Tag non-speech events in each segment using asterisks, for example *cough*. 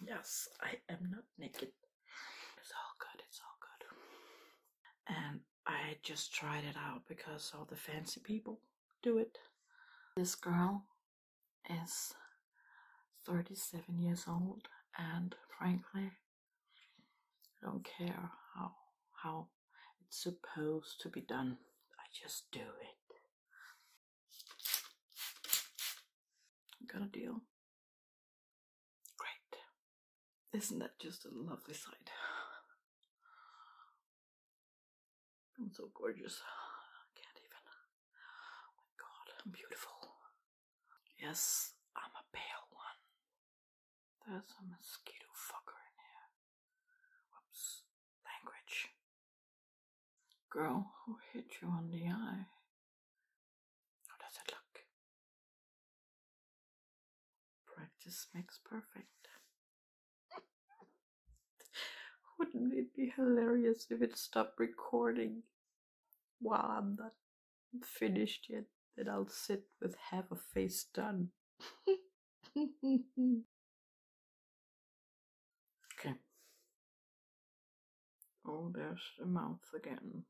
Yes, I am not naked. It's all good, it's all good. And I just tried it out because all the fancy people do it. This girl is 37 years old and frankly I don't care how how it's supposed to be done. I just do it. Got a deal. Great. Isn't that just a lovely sight? I'm so gorgeous. I can't even. Oh my god, I'm beautiful. Yes, I'm a pale one. There's a mosquito fucker in here. Whoops. Girl who hit you on the eye. How does it look? Practice makes perfect. *laughs* Wouldn't it be hilarious if it stopped recording while I'm not finished yet? Then I'll sit with half a face done. *laughs* Okay. Oh, there's the mouth again.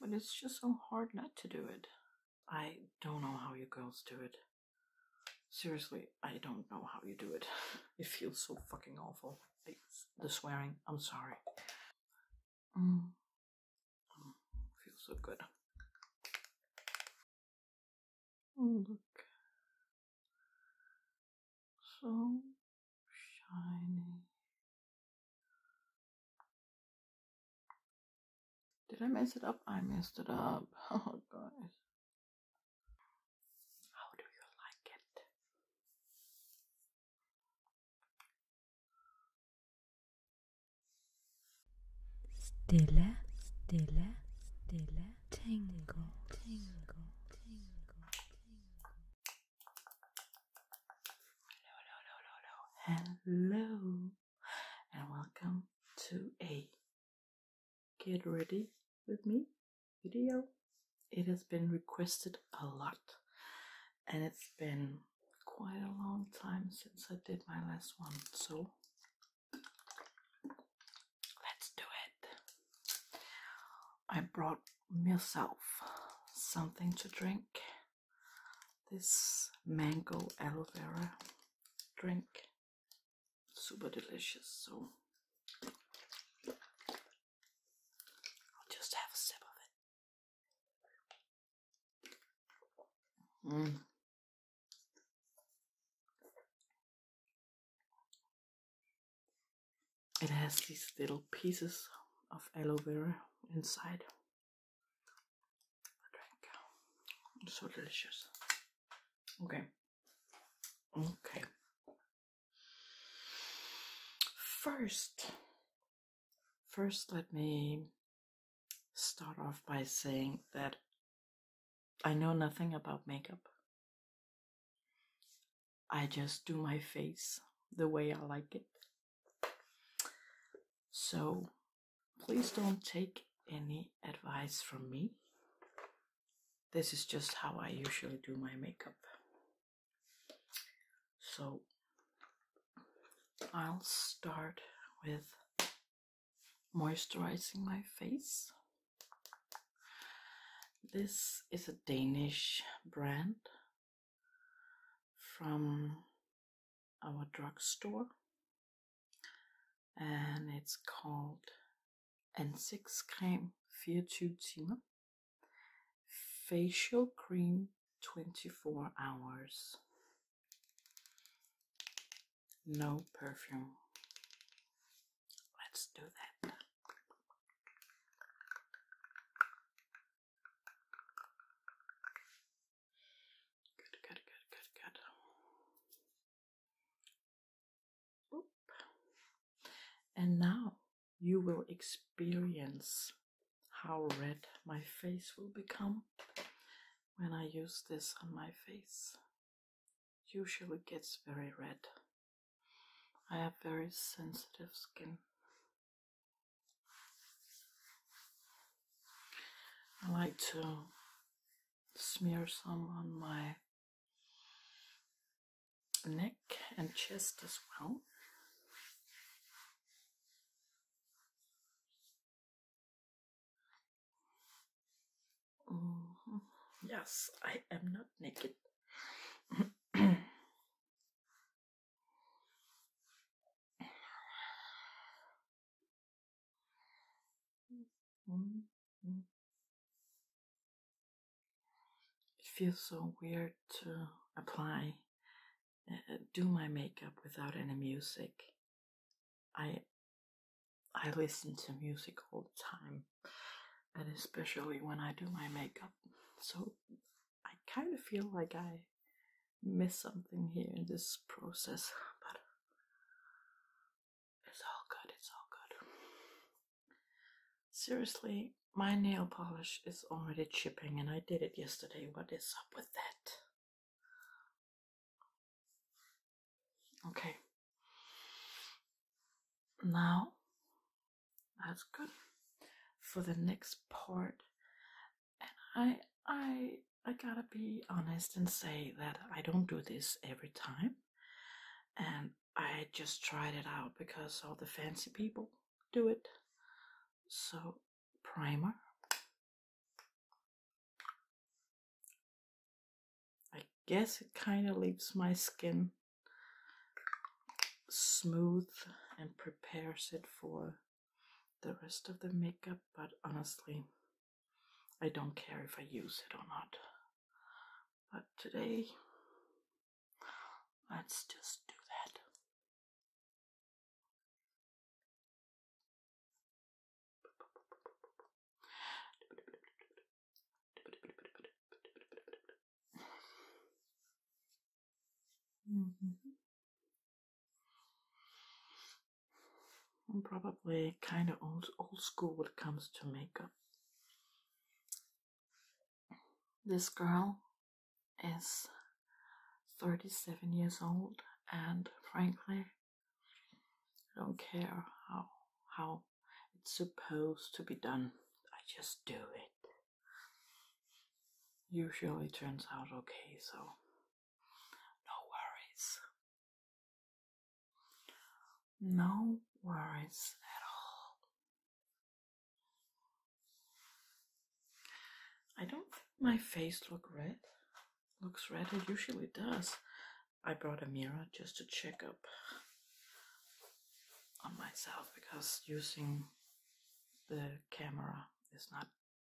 But it's just so hard not to do it. I don't know how you girls do it. Seriously, I don't know how you do it. *laughs* It feels so fucking awful. the swearing, I'm sorry. Mm. Mm, feels so good. Look so shiny. Did I mess it up? I messed it up. *laughs* Oh, guys. How do you like it? Stille, stille, stille tingle, tingle, tingle, tingle. Hello, hello, hello, hello, hello, and welcome to a get ready with me video. It has been requested a lot, and it's been quite a long time since I did my last one, so Let's do it. I brought myself something to drink. This mango aloe vera drink. Super delicious, so I'll just have a sip of it. Mm. It has these little pieces of aloe vera inside so delicious. Okay. Okay. First, first let me start off by saying that I know nothing about makeup. I just do my face the way I like it. So please don't take any advice from me. This is just how I usually do my makeup. So I'll start with moisturizing my face. This is a Danish brand from our drugstore, and it's called Ansigtscreme 24 timer facial cream 24 hours. No perfume. Let's do that. Good, good, good, good, good. Oop. And now you will experience how red my face will become when I use this on my face usually gets very red. I have very sensitive skin. I like to smear some on my neck and chest as well. Mm-hmm. yes, I am not naked. It feels so weird to apply, uh, do my makeup without any music. I I listen to music all the time, and especially when I do my makeup. So I kind of feel like I miss something here in this process, *laughs* but it's all good, it's all good. Seriously, my nail polish is already chipping, and I did it yesterday. What is up with that? Okay. Now, that's good for the next part. I, I, I gotta be honest and say that I don't do this every time. And I just tried it out because all the fancy people do it. So, primer. I guess it kind of leaves my skin smooth and prepares it for the rest of the makeup, but honestly, I don't care if I use it or not. But today, let's just do that. Mm-hmm. probably kind of old, old school when it comes to makeup. This girl is 37 years old, and frankly, I don't care how how it's supposed to be done. I just do it. Usually turns out okay, so no worries. No worries at all. I don't think my face look red. Looks red, it usually does. I brought a mirror just to check up on myself because using the camera is not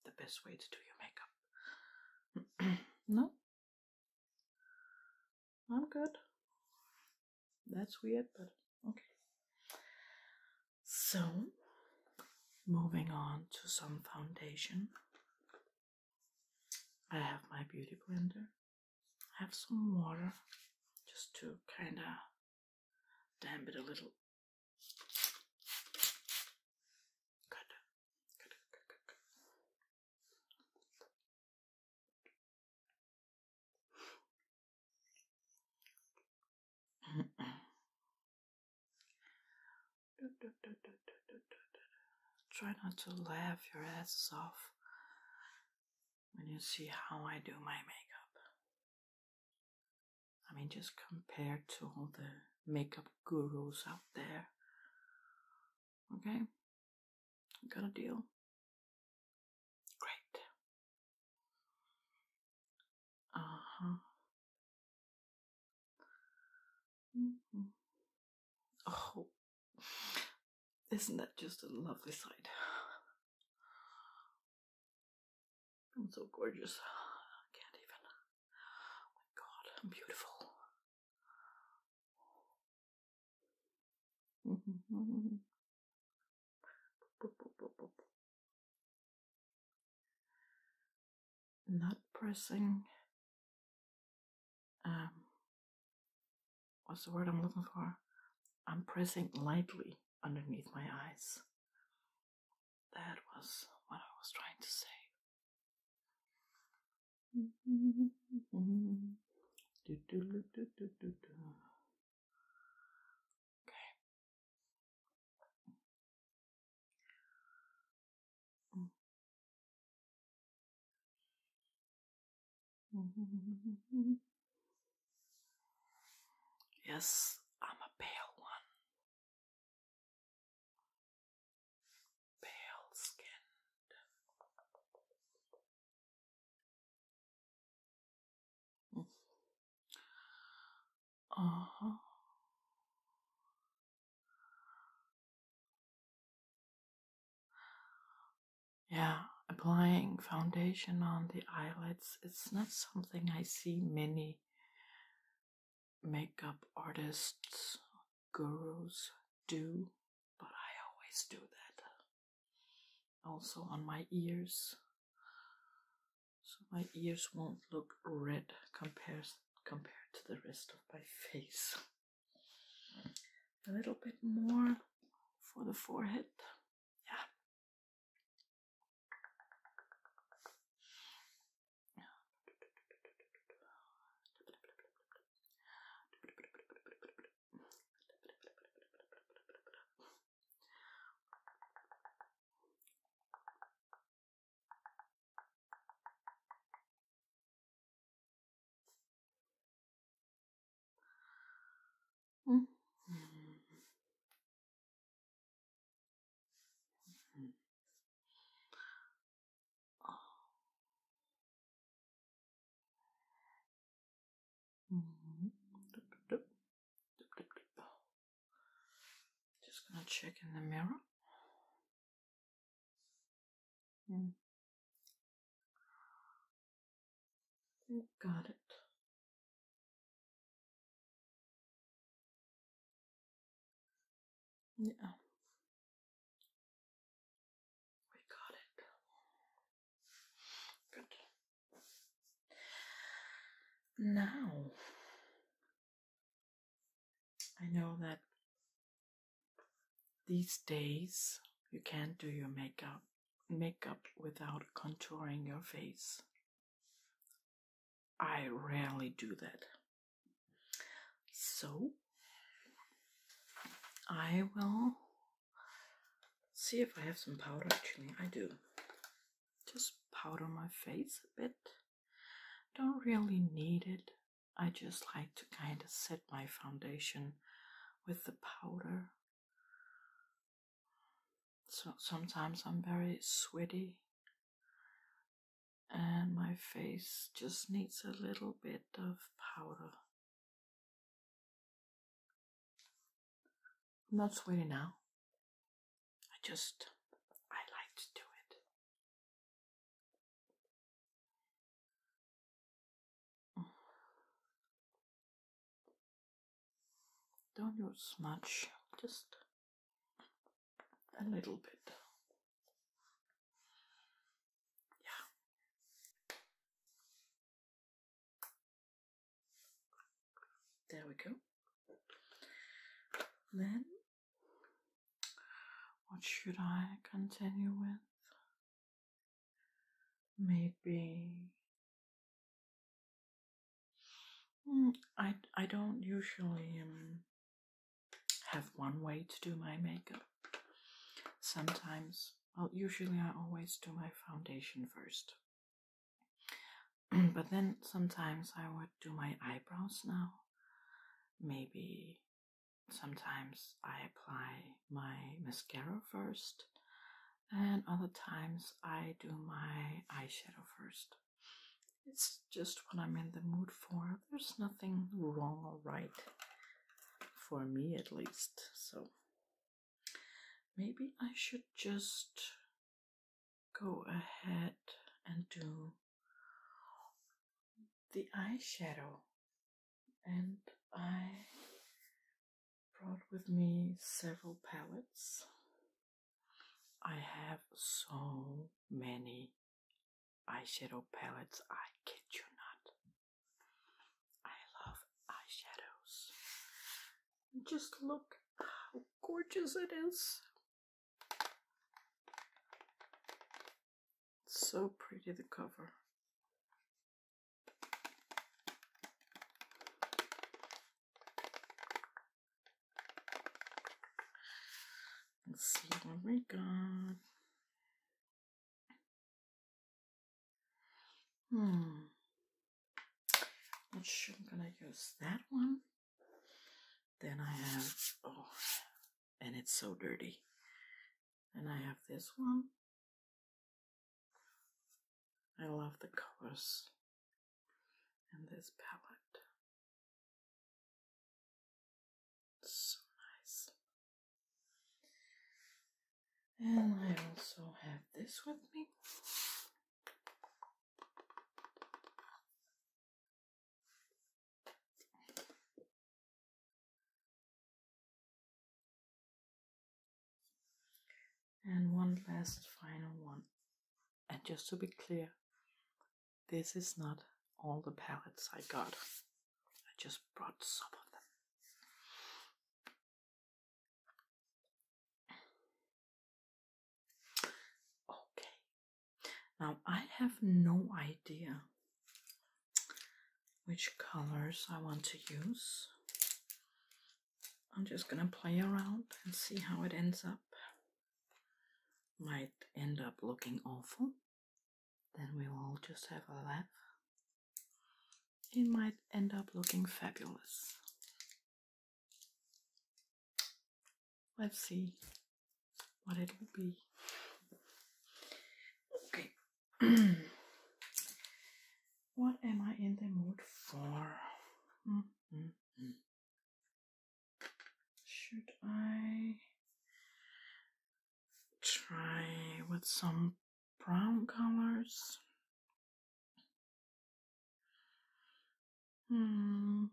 the best way to do your makeup. *clears throat* no, I'm good. That's weird, but okay. So, moving on to some foundation. I have my beauty blender. I have some water just to kind of damp it a little. Good. Good, good, good, Try not to laugh your asses off when you see how I do my makeup. I mean, just compared to all the makeup gurus out there. Okay? Got a deal? Great. Uh huh. Mm-hmm. Oh, isn't that just a lovely sight? I'm so gorgeous. I can't even. Oh my god, I'm beautiful. *laughs* Not pressing um, what's the word I'm looking for? I'm pressing lightly underneath my eyes. That was what I was trying to say. Mm. Mm-hmm. Yes, I'm a pale one. Pale skinned. Mm. Uh uh-huh. Yeah, applying foundation on the eyelids, it's not something I see many makeup artists, gurus do, but I always do that. Also on my ears. So my ears won't look red compared to the rest of my face a little bit more for the forehead. Yeah. Just gonna check in the mirror. Hmm. Got it. Yeah. We got it. Good. Now I know that these days you can't do your makeup makeup without contouring your face. I rarely do that. So I will see if I have some powder actually. I do. Just powder my face a bit. Don't really need it I just like to kind of set my foundation with the powder. So sometimes I'm very sweaty and my face just needs a little bit of powder. I'm not sweaty now. I just, I like to do it. *sighs* Don't use much, just a little bit. Yeah. There we go. Then what should I continue with? Maybe. Hmm, I, I don't usually um, have one way to do my makeup. Sometimes, well, usually I always do my foundation first. *clears throat* but then sometimes I would do my eyebrows now. Maybe Sometimes I apply my mascara first, and other times I do my eyeshadow first. It's just what I'm in the mood for. There's nothing wrong or right, for me at least. So maybe I should just go ahead and do the eyeshadow, and I brought with me several palettes. I have so many eyeshadow palettes, I kid you not. I love eyeshadows. Just look how gorgeous it is. It's so pretty, the cover. Let's see what we got. Hmm. Not sure I'm gonna use that one. Then I have oh and it's so dirty. And I have this one. I love the colors and this palette. so nice. And I also have this with me. And one last final one. And just to be clear, this is not all the palettes I got. I just brought some of them. Okay, now I have no idea which colors I want to use. I'm just gonna play around and see how it ends up. Might end up looking awful. Then we will just have a laugh. It might end up looking fabulous. Let's see what it will be. Okay. *clears throat* what am I in the mood for? Mm, mm, mm. Should I try with some brown colors? Hmm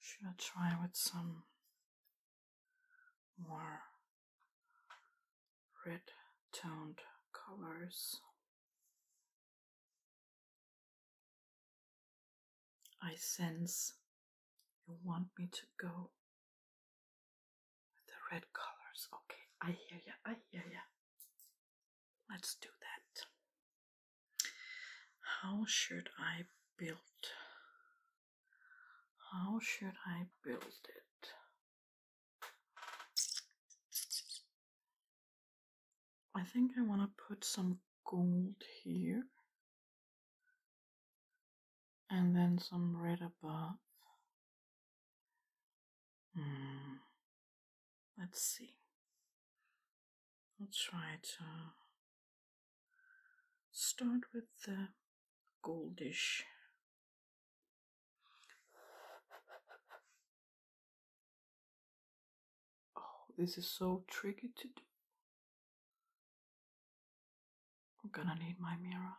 should I try with some more red toned colors? I sense you want me to go with the red colors. Okay, I hear ya, I hear ya. Let's do that. How should I build? How should I build it? I think I want to put some gold here and then some red above Hmm, let's see. I'll try to start with the goldish. Oh, this is so tricky to do. I'm gonna need my mirror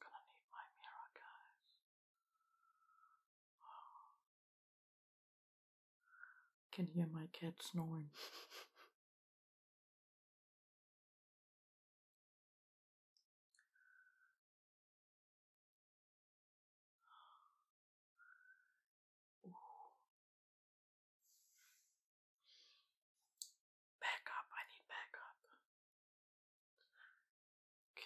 gonna need my mirror, guys. *sighs* Can hear my cat snoring. *sighs* Back up, I need backup. Okay.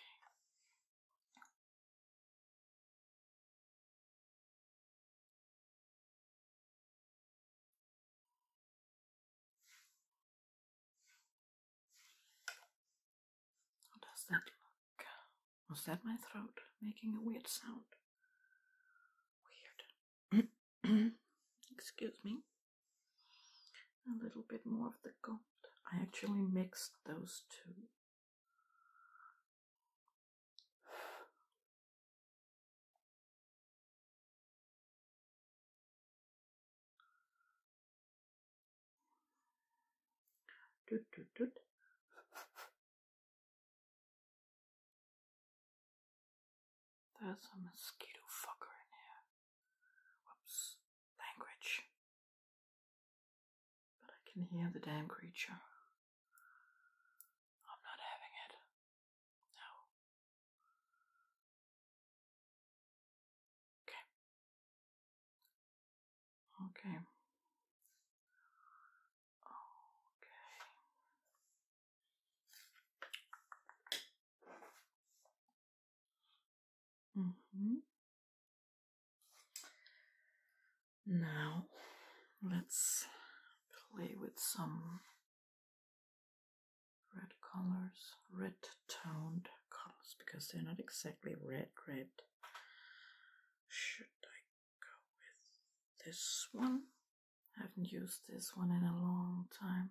How does that look? Was that my throat making a weird sound? Weird. *clears throat* Excuse me a little bit more of the gold. I actually mixed those two. Doot, There's a mosquito fucker in here. Whoops. Language. But I can hear the damn creature. I'm not having it. No. Okay. Okay. Okay. Mm-hmm. Now let's play with some red colors, red toned colors, because they're not exactly red, red. Should I go with this one? I haven't used this one in a long time.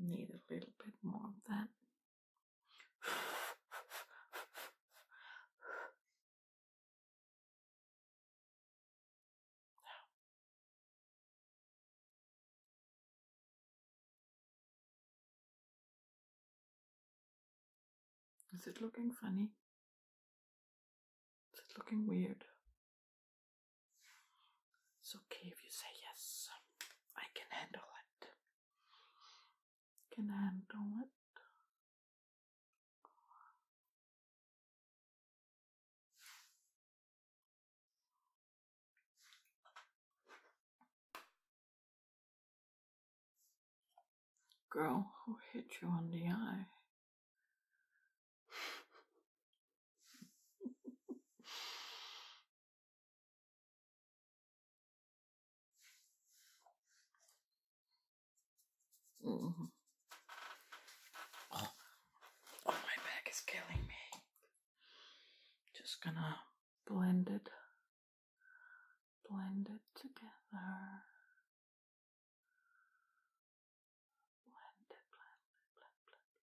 Need a little bit more of that. Is it looking funny? Is it looking weird? It's okay if you say yes, I can handle it it, can handle it. Girl who hit you on the eye. *laughs* Mm-hmm. oh. my back is killing me. Just gonna blend it, blend it together. Blend it, blend it, blend, blend,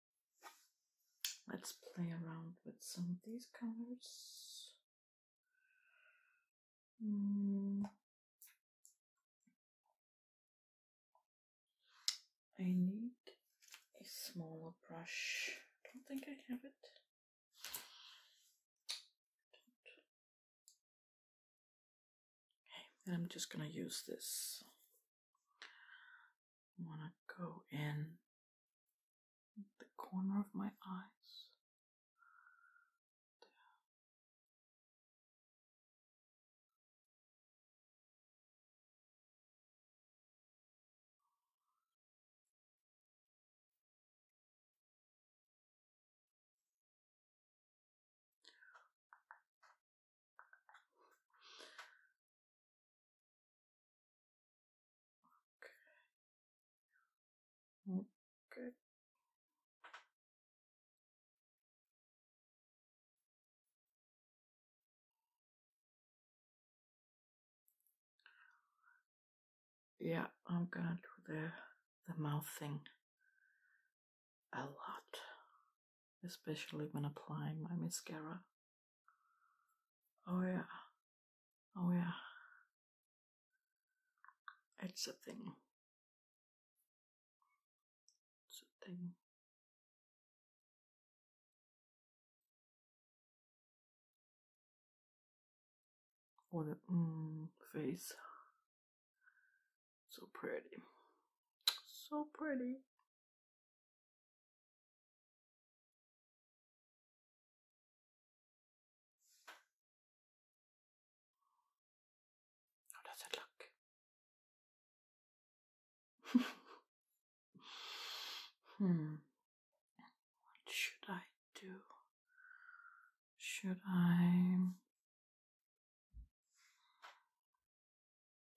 Let's play around with some of these colors. Hmm. I need a smaller brush. I don't think I have it. Okay, I'm just gonna use this I want to go in the corner of my eyes. Okay. Good. Yeah, I'm gonna do the the mouth thing a lot especially when applying my mascara. Oh, yeah. Oh, yeah. It's a thing. It's a thing. Or the mm, face. So pretty. So pretty. How does it look? hmm. What should I do? Should I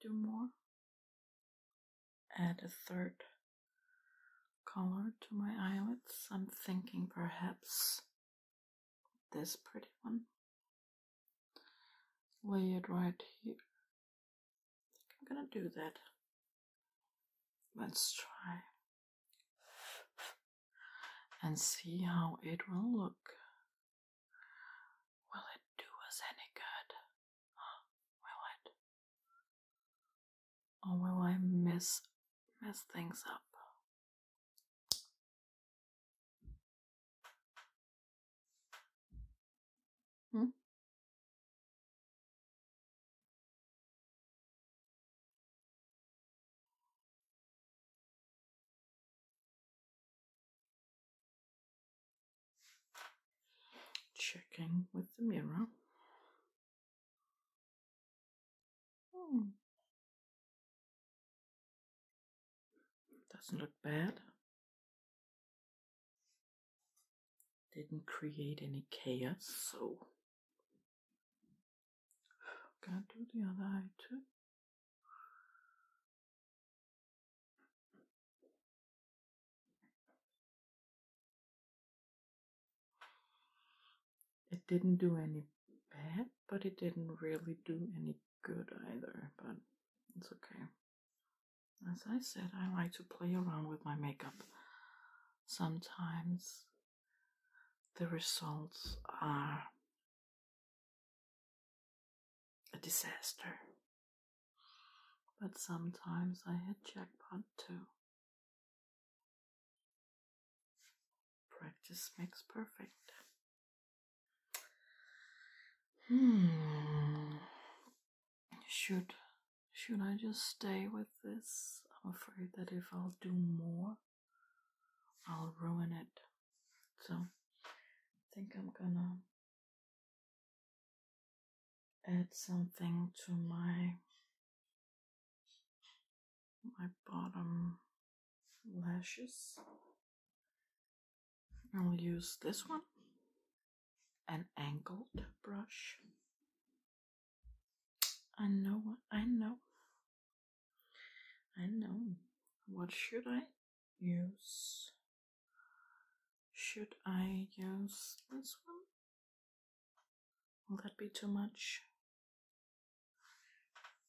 do more. Add a third color to my eyelids. I'm thinking perhaps this pretty one. Lay it right here. I I'm gonna do that. Let's try and see how it will look. Will it do us any good? Will it? Or will I mess mess things up? Hmm? Checking with the mirror. Hmm. Doesn't look bad. Didn't create any chaos, so I'm gonna do the other eye too. It didn't do any bad, but it didn't really do any good either, but it's okay. As I said, I like to play around with my makeup. Sometimes the results are a disaster. But sometimes I hit jackpot too. Practice makes perfect. Hmm. Should should I just stay with this? I'm afraid that if I'll do more, I'll ruin it. So I think I'm gonna add something to my my bottom lashes. I'll use this one, an angled brush. I know, what. I know, I know. What should I use. Should I use this one? Will that be too much?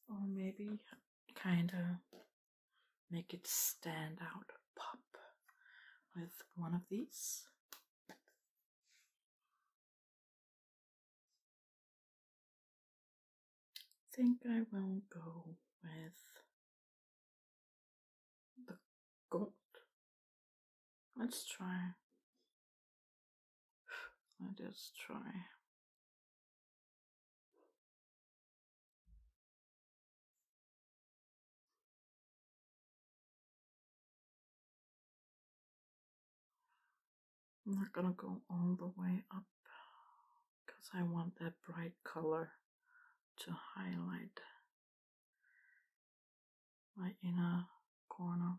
Or maybe kinda make it stand out, pop with one of these. think I will go with the gold. Let's try. Let us try. I'm not gonna go all the way up because I want that bright color to highlight my inner corner.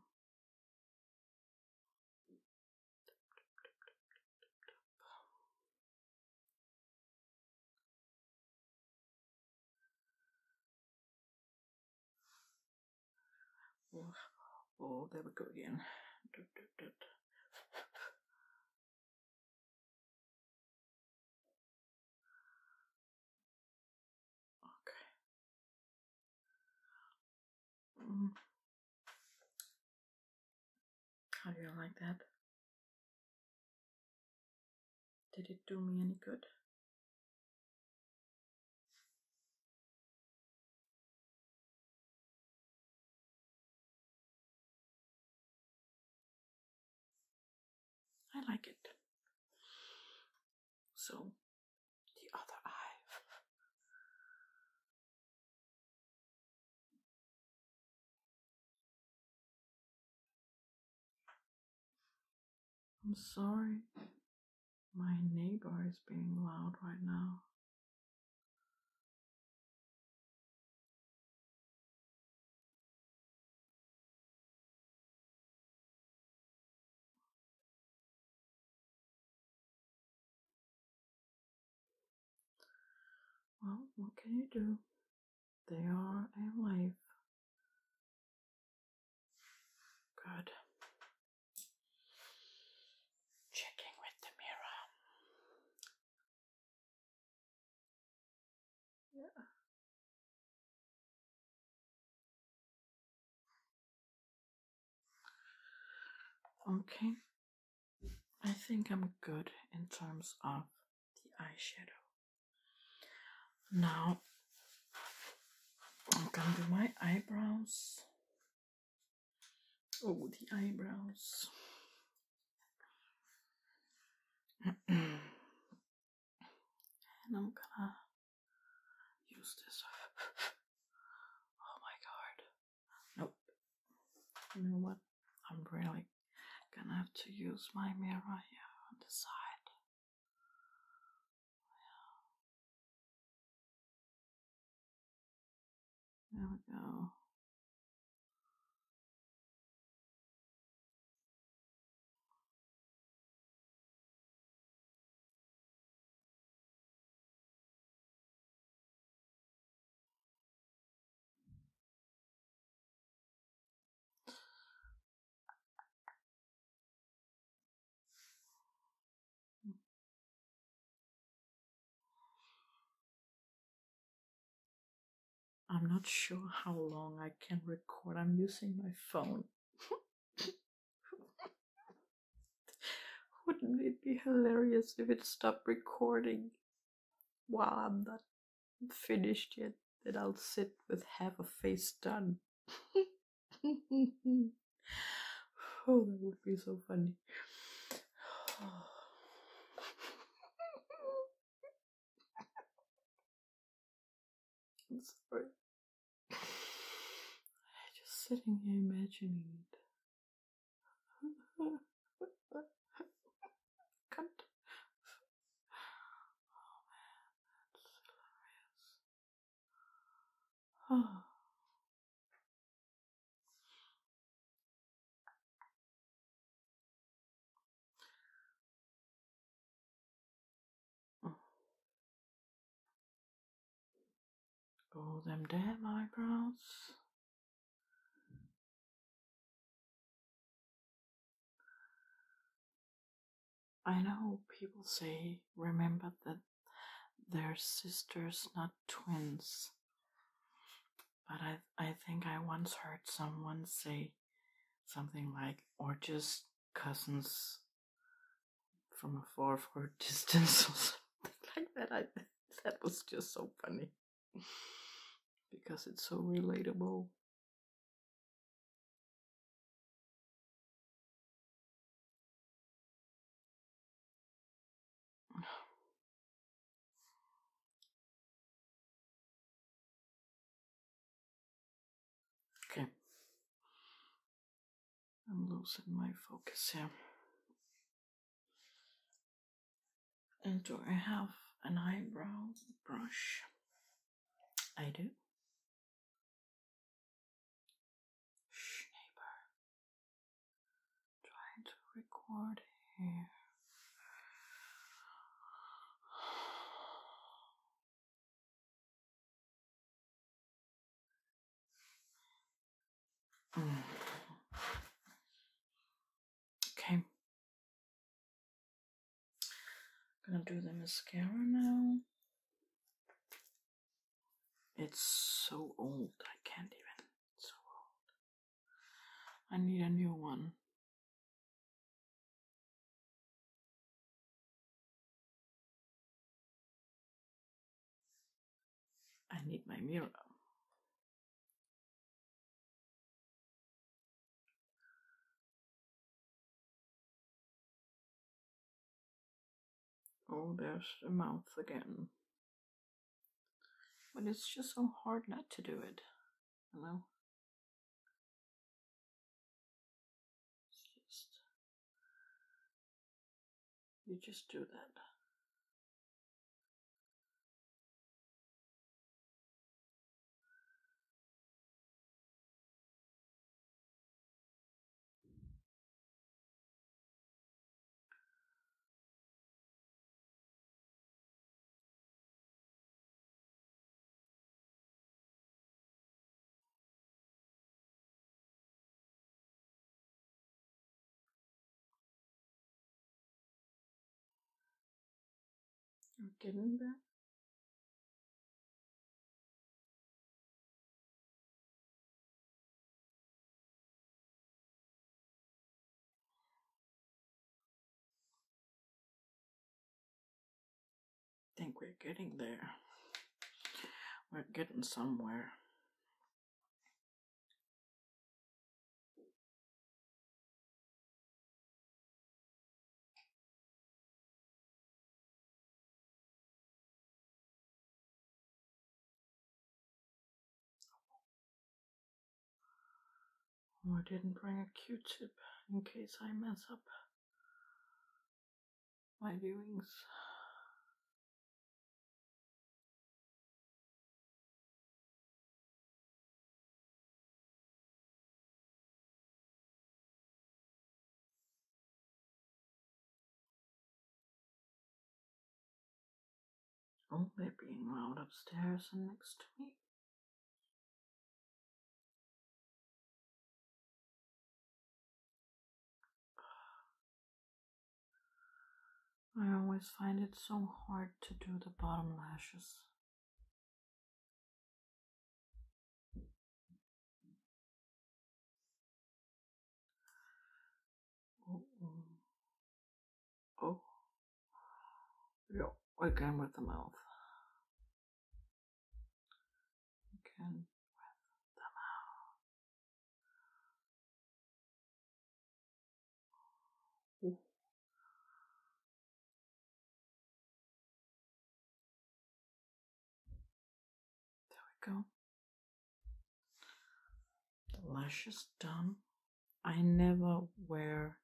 Oh, there we go again. Okay. Mm. How do you like that? Did it do me any good? I like it. So, the other eye. I'm sorry, my neighbor is being loud right now. Well, what can you do? They are a life. Good. Checking with the mirror. Yeah. Okay. I think I'm good in terms of the eyeshadow. Now I'm gonna do my eyebrows. Oh, the eyebrows and I'm gonna use this. *laughs* oh my god. Nope. You know what? I'm really gonna have to use my mirror here on the side. There oh, we go. I'm not sure how long I can record. I'm using my phone. *laughs* Wouldn't it be hilarious if it stopped recording while I'm not finished yet? That I'll sit with half a face done. *laughs* oh, that would be so funny. *sighs* *laughs* I'm sorry. Just sitting here imagining it. can *laughs* oh, that's hilarious. *sighs* All them mm. damn eyebrows. I know people say, remember that they're sisters, not twins but I, I think I once heard someone say something like, or just cousins from a far, *laughs* far distance or something like that. I, that was just so funny because it's so relatable. Okay. I'm losing my focus here. And do I have an eyebrow brush? I do. Shh, trying to record here. Mm. Okay. I'm gonna do the mascara now. It's so old, I can't even. I need a new one. I need my mirror. Oh, there's the mouth again. But it's just so hard not to do it, you know? It's just. You just do that. I'm getting there think we're getting there. We're getting somewhere. Oh, I didn't bring a Q-tip in case I mess up my doings only oh, being wound upstairs and next to me. I always find it so hard to do the bottom lashes. Oh, oh. Oh. Yeah, again with the mouth. Again with the mouth. There we go. The lash done. I never wear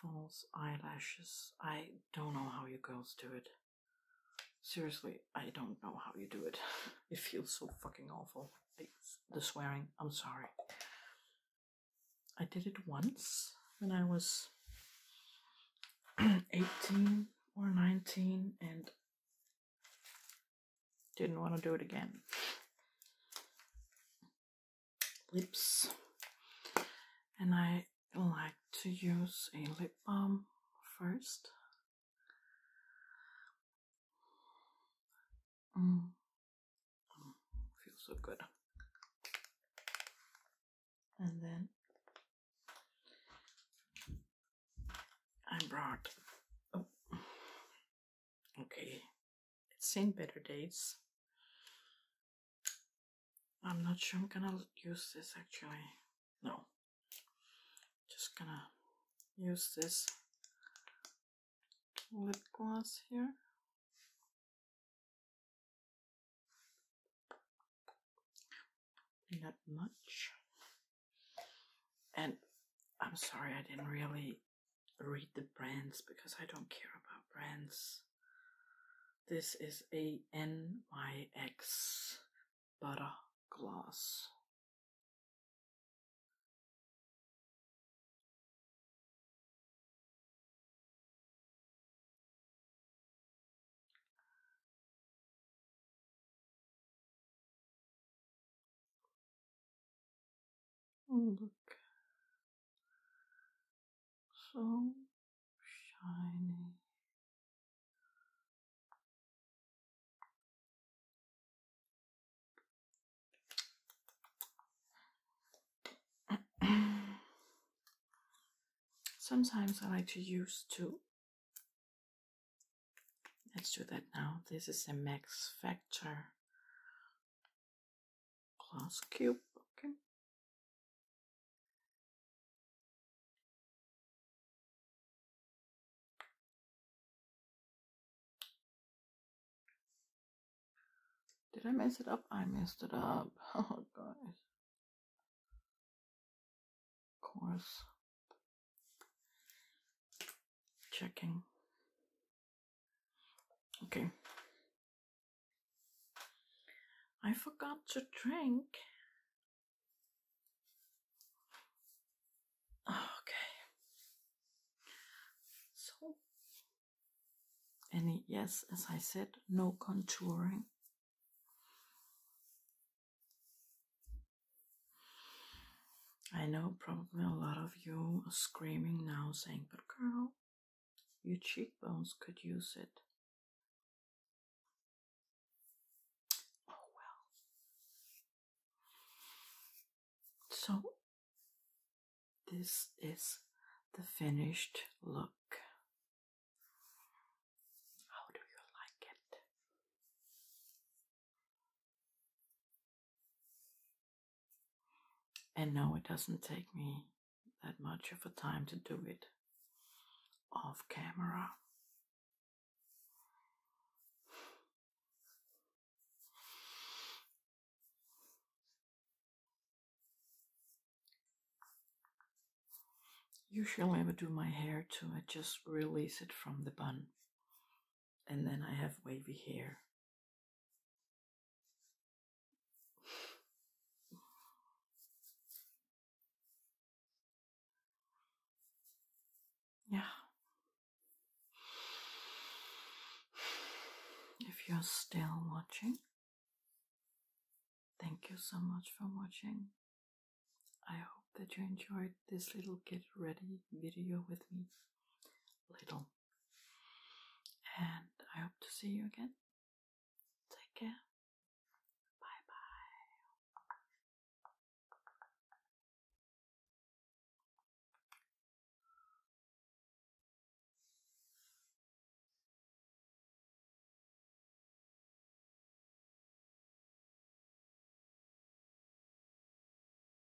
false eyelashes. I don't know how you girls do it. Seriously, I don't know how you do it. *laughs* It feels so fucking awful. the swearing, I'm sorry. I did it once when I was *clears throat* 18 or 19, and didn't want to do it again. Lips. And I like to use a lip balm first. Mm. feels so good. And then I brought oh, Okay, it's in better days. I'm not sure I'm gonna use this actually. No. Just gonna use this lip gloss here. Not much. And I'm sorry I didn't really read the brands because I don't care about brands. This is a N Y X butter gloss. Look so shiny. Sometimes I like to use two. Let's do that now. This is a Max Factor plus cube, okay. Did I mess it up? I messed it up. *laughs* Oh, guys. Of course checking. Okay. I forgot to drink. Okay. So, any, yes, as I said, no contouring. I know probably a lot of you are screaming now saying, but girl, your cheekbones could use it. Oh well. So, this is the finished look. How do you like it? And no, it doesn't take me that much of a time to do it off camera. Usually I would do my hair too, I uh, just release it from the bun and then I have wavy hair. Yeah. If you're still watching, thank you so much for watching. I hope that you enjoyed this little get ready video with me. Little and I hope to see you again. Take care. Bye bye.